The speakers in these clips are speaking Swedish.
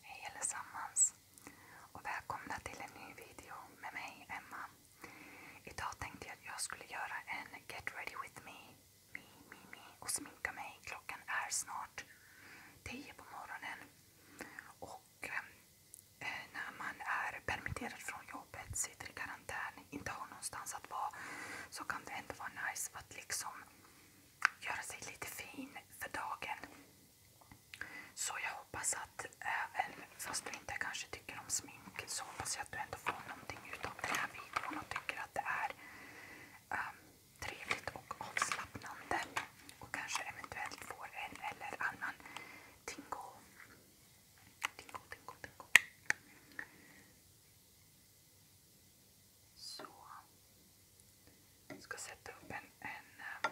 Hej allesammans och välkomna till en ny video med mig Emma. Idag tänkte jag att jag skulle göra en Get ready with me, me, me, me och sminka mig. Klockan är snart 10 på morgonen. Och ehm, eh, när man är permitterad från jobbet, sitter i karantän, inte har någonstans att vara så kan det ändå vara nice att liksom göra sig lite fin för dagen. Så jag hoppas att även eh, fast du inte kanske tycker om smink så hoppas jag att du ändå får någonting utav den här videon och tycker att det är um, trevligt och avslappnande. Och kanske eventuellt får en eller annan tingo. Tingo, tingo, tingo. Så. Jag ska sätta upp en, en um,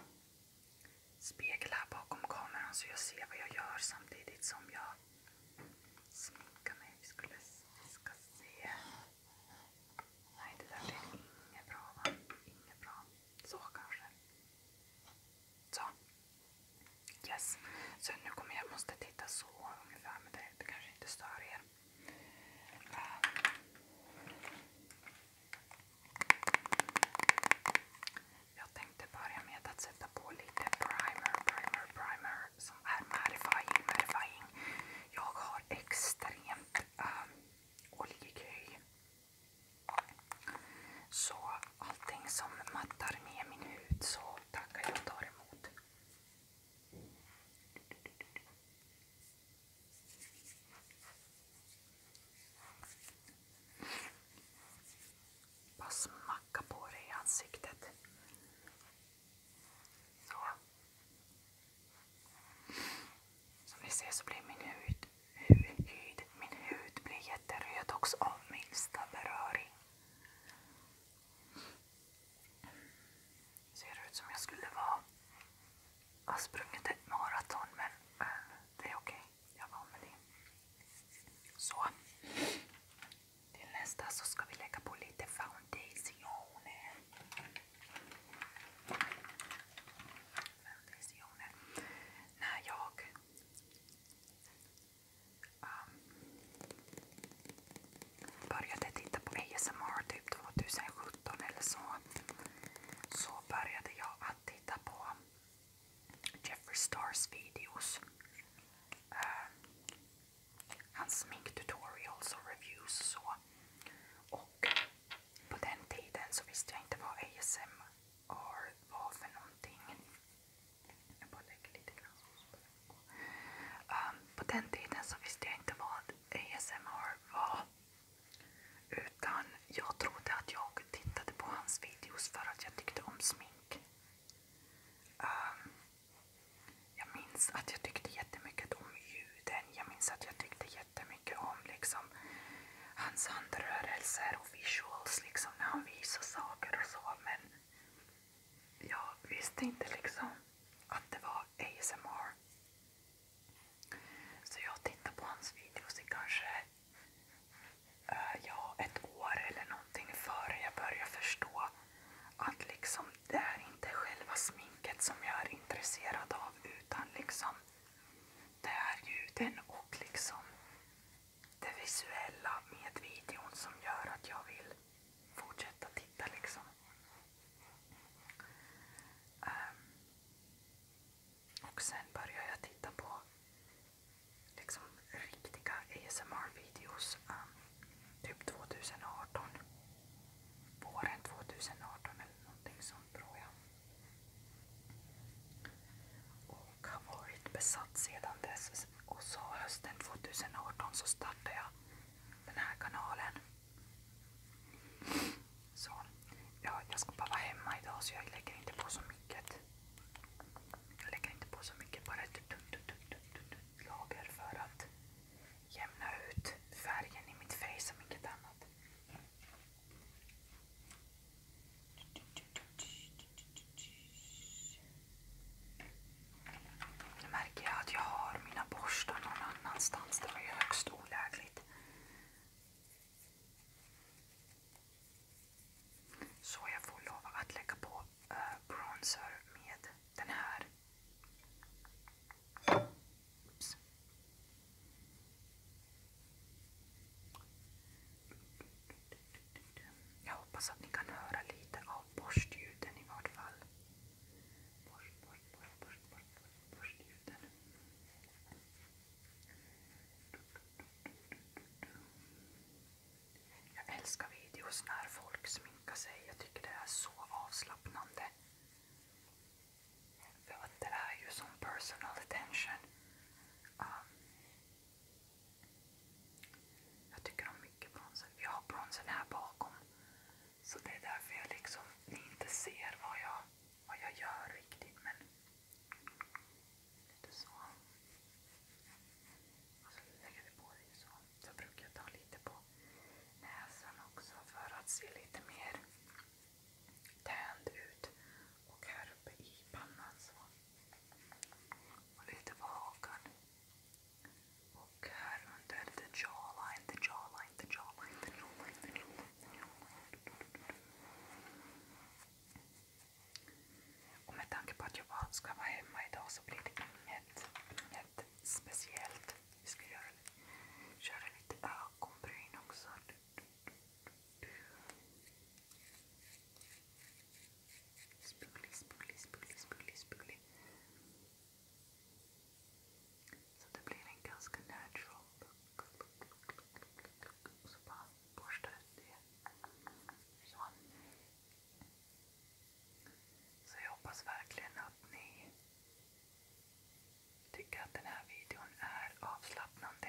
eh, spegel här bakom kameran så jag ser vad jag gör samtidigt som jag sminkar mig. Vi, skulle, ska se. Nej, det där blev inget bra va? Inget bra. Så kanske. Så. Yes. Så nu kommer jag måste titta så ungefär, men det, det kanske inte stör er. Jag tänkte börja med att sätta på lite primer, primer, primer som är mattifying, mattifying. Jag har extremt um, ehm, oljig hy. Så allting som mattar ner min hud så tackar jag och tar emot. Bara smacka på dig i ansiktet. Så. Som ni ser så blir min hud, hud, hud, min hud blir jätteröd också av minsta beröring. Ser ut som jag skulle vara har sprungit ett maraton men äh, det är okej. Jag var med det. Så. Till nästa så ska vi lägga på lite foundationer. Foundationer. När jag um, började titta på ASMR typ 2017 eller så så började jag att titta på Jeffrey Stars videos. Uh, hans sminktutorials och reviews och så. Och på den tiden så visste jag inte vad ASMR var för någonting. Eh, på den tiden så visste jag inte vad ASMR var. Utan jag trodde att jag tittade på hans videos för att jag tyckte om smink. Um, jag minns att jag tyckte jättemycket om ljuden. Jag minns att jag tyckte jättemycket om liksom, hans handrörelser och visuals liksom, när han visar saker och så. Men jag visste inte liksom att det var ASMR. Så jag tittar på hans videos i kanske eh, ja, ett år eller någonting före jag börjar förstå att liksom det är inte själva sminket som jag är intresserad av utan liksom det är ljuden och liksom det visuella med videon som gör att jag vill fortsätta titta. liksom. Um, och sen började jag titta på liksom riktiga ASMR-videos um, typ 2018. Våren 2018 eller någonting sånt tror jag. Och har varit besatt sedan dess. Och så hösten 2018 så startade jag den här kanalen. Så. Ja, jag ska bara vara hemma idag så jag lägger inte på så mycket. Jag lägger inte på så mycket. Bara ett lager för att jämna ut färgen i mitt face och inget annat. Nu märker jag att jag har mina borstar någon annanstans. Det var ju högst olägligt. Så jag får lov att lägga på äh, bronzer med den här. Oops. Jag hoppas att ni kan höra lite av borstljuden i vart fall. Borst, borst, borst, borst, borst, borst, borstljuden. Jag älskar videos när folk sminkar sig. Jag tycker det är så avslappnande. För att det är ju som personal attention. Um, jag tycker om mycket bronsen. Jag har bronsen här bakom. Så det är därför jag liksom, inte ser vad jag vad jag gör riktigt men lite så. Och så lägger vi på det så. Så brukar jag ta lite på näsan också för att se lite mer tänd ut. Och här uppe i pannan så. Och lite på hakan. Och här under the jawline, the jawline, the jawline, the jawline, the jawline. The jawline. Och med tanke på att jag bara ska vara hemma idag så blir det inget, inget speciellt. Vi ska göra, köra lite ögonbryn också. Spuglig, spuglig, spuglig, spuglig, spuglig. Så det blir en ganska natural look. Och så bara borsta ut det. Så. så jag hoppas verkligen att ni tycker att den här videon är avslappnande.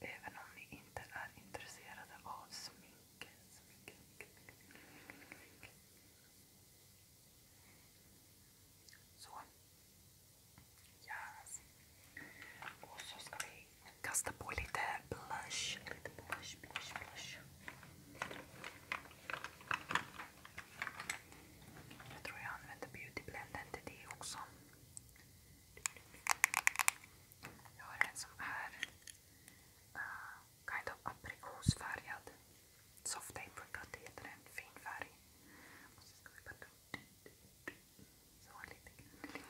Även om ni inte är intresserade av smink. smink, smink, smink, smink. Så. Yes. Och så ska vi kasta på lite blush. Jag tror jag använder beautyblenden till det också. Jag har en som är eh, aprikosfärgad. Soft apricot heter den. Fin färg. Och så ska vi så lite grann.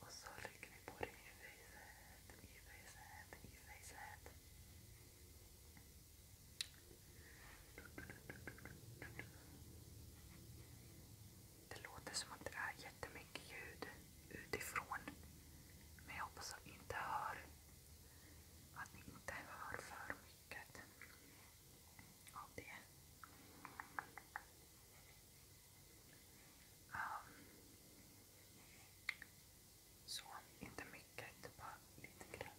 Och så lägger vi på den i facet, i facet, i facet. Det låter som att det är jättemycket ljud utifrån. Men jag hoppas att ni inte hör, att ni inte hör för mycket. Ehm, så, inte mycket. Bara lite grann,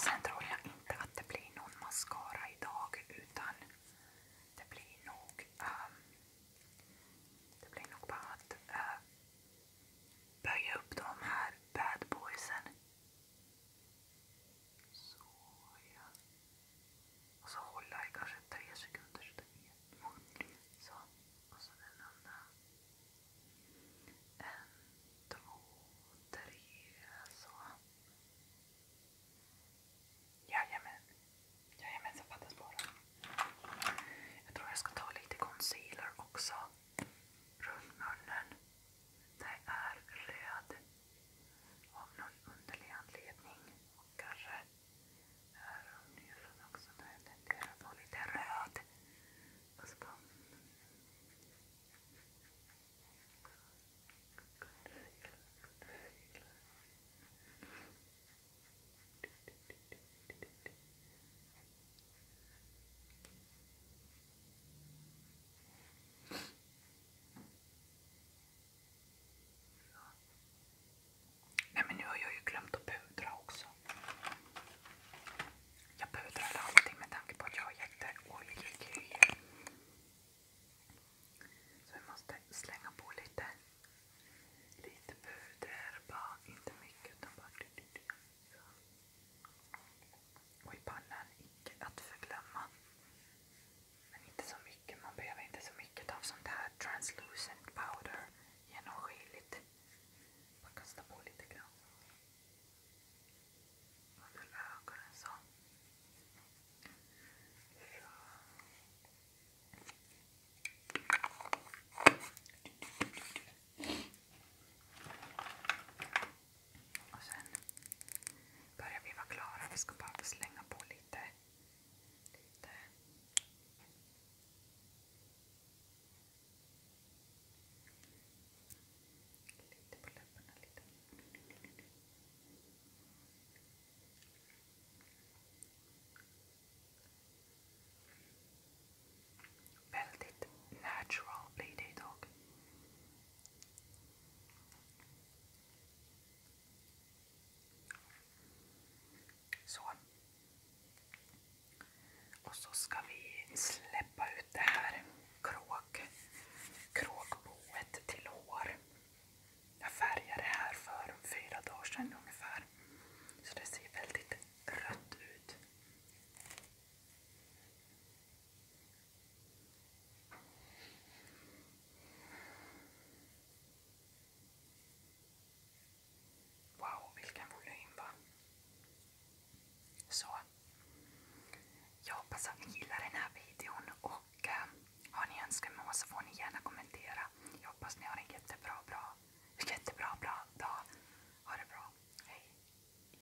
Sen tror jag inte att det blir någon mascara idag utan det blir nog ehm, bara att eh, böja upp de här bad boysen så Och så hålla i kanske tre sekunder. Så och så den andra. En, två, tre, så. Jajamän. Jajamän, fattas bara. Jag tror jag ska ta lite concealer också runt munnen. Det är röd av någon underlig anledning. Och kanske är öronen också. Den tenderar att vara lite röd. Och så bara... Nej men nu har jag ju glömt att pudra också. Jag pudrar allting med tanke på att jag har jätteoljig Så vi måste slänga på lite, puder. Bara, inte mycket utan bara... Och i pannan, icke att förglömma. Men inte så mycket, man behöver inte så mycket av sånt här translucent powder. Genomskinligt. Man kastar på lite grann. Under ögonen så. så. Och sen börjar vi vara klara. Vi ska bara slänga på lite. lite. Lite på läpparna, lite. Väldigt natural blir det idag. Så. Och så ska vi släppa ut det här kråk, kråkboet till hår. Jag färgade det här för fyra dagar sedan ungefär. Så det ser väldigt rött ut. Wow, vilken volym va? Så. Jag hoppas att ni gillar den här videon och eh, har ni önskemål så får ni gärna kommentera. Jag hoppas ni har en jättebra, bra, jättebra bra dag. Ha det bra. Hej.